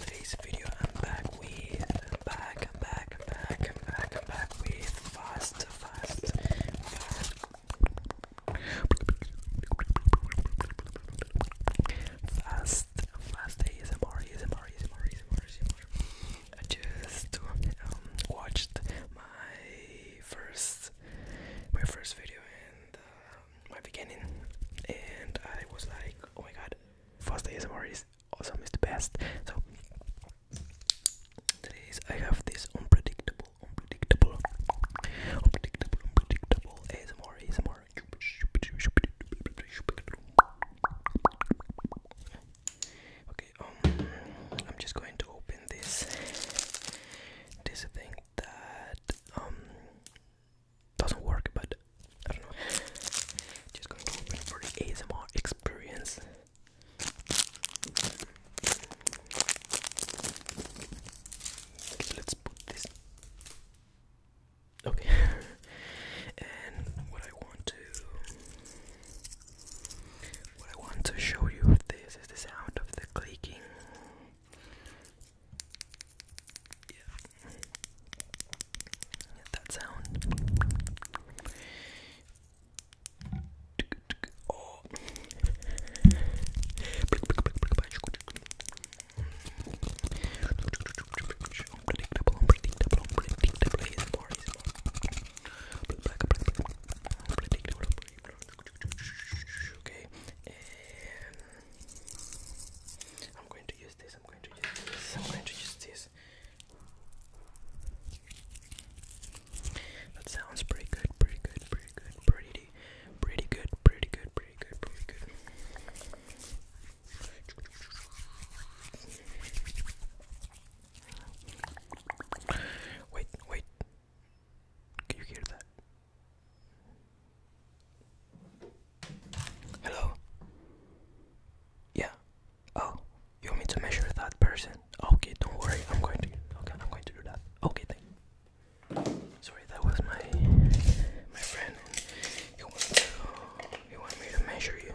today's video I'm back with I'm back I'm back I'm back I'm back I'm back with fast fast fast fast fast I just um, watched my first my first video and uh, my beginning, and I was like, oh my god, first ASMR is awesome, it's the best. So today is I have this unpredictable, unpredictable, unpredictable, unpredictable ASMR, ASMR. Okay, um, I'm just going to open this this thing that um doesn't work, but I don't know. Just going to open for the ASMR experience. let's put this. Okay, and what I want to, what I want to show you of this is the sound of the clicking yeah. Get that sound. Oh. Unpredictable, unpredictable, unpredictable. He's more, he's more. Unpredictable, unpredictable. Okay, I'm going to use this. I'm going to use this. I'm going to use this. That sounds pretty good. Pretty good. Pretty good. Pretty. Pretty good. Pretty good. Pretty good. Pretty good. Wait, wait. Can you hear that? Hello? Yeah. Oh, you want me to measure that person? Okay, don't worry. I'm going to. Okay, I'm going to do that. Okay, thank Sorry, that was my my friend. He wanted to. He me to measure you.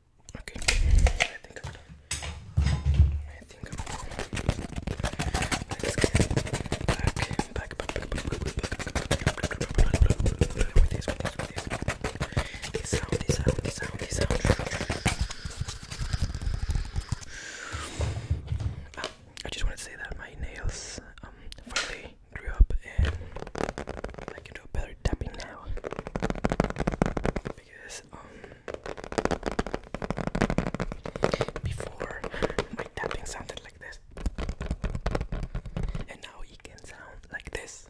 Okay, I think I'm done. I think I'm done. Let's get back, back, back, back, back, back, back, back, with this, with this, with this. This sound, this sound, this sound, this sound. Ah, I just wanted to say that my nails um finally grew up and I can do a better tapping now because um, before my tapping sounded like this and now it can sound like this.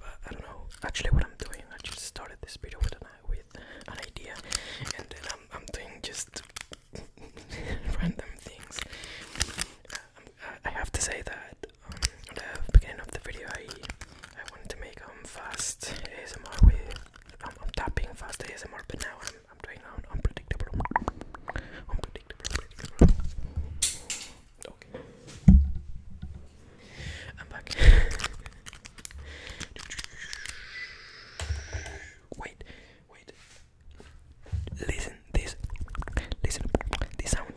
I don't know actually what I'm doing. I just started this video with an, with an idea, and then I'm, I'm doing just random things. Um, I have to say that um, at the beginning of the video, I I wanted to make them um, fast ASMR with um, I'm tapping fast ASMR, but now I'm I'm doing um, unpredictable, unpredictable, unpredictable. Okay, I'm back. Wait, Wait. Listen this. Listen this sound.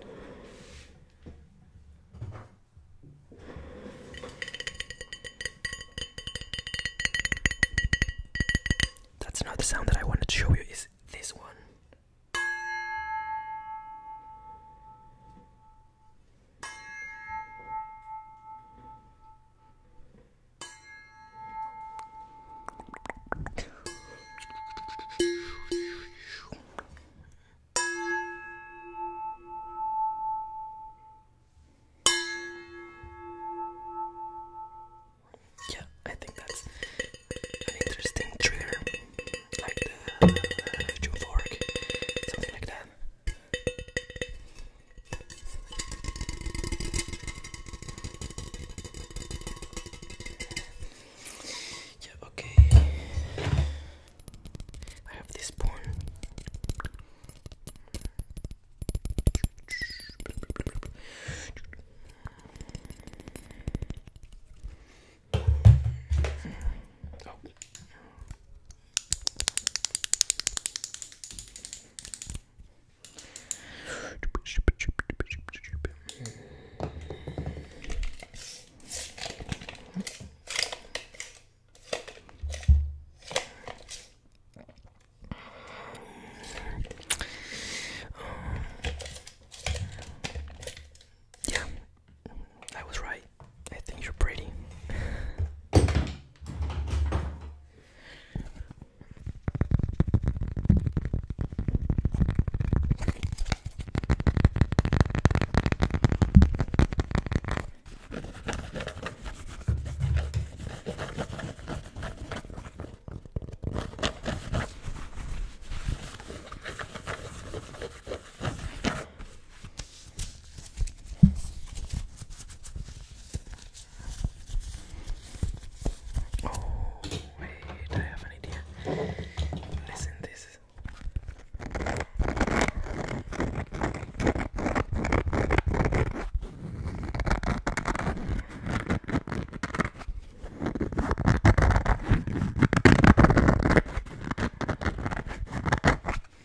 That's not the sound that I wanted to show you. Is this one? Yeah, I think that's an interesting trigger, like the, the, uh, fork, something like that. Yeah, okay. I have this spoon. Oh. Yeah, I was right. I think you're pretty. Oh, wait, I have an idea. Listen, this is.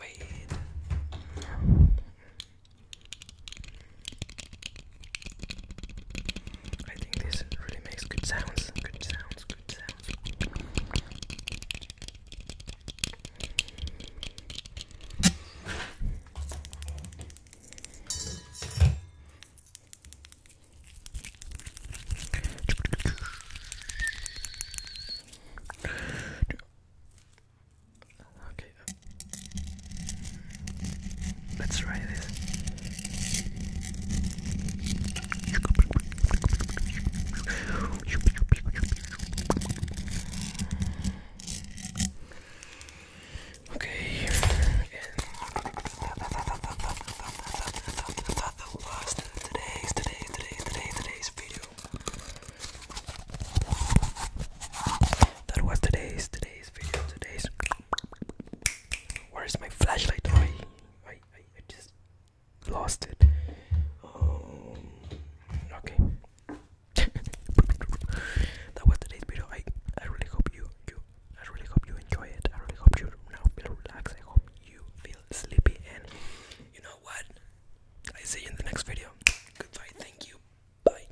Wait. I think this really makes good sounds. Good sounds. Good sounds. Okay. Uh, let's try this. Okay, and the today's today's today's today's video. That was today's today's video today's. Where is my flashlight? I, I, I just lost it. Um, okay, that was today's video. I I really hope you you I really hope you enjoy it. I really hope you now feel relaxed. I hope you feel sleepy. And you know what? I see you in the next video. Goodbye. Thank you. Bye.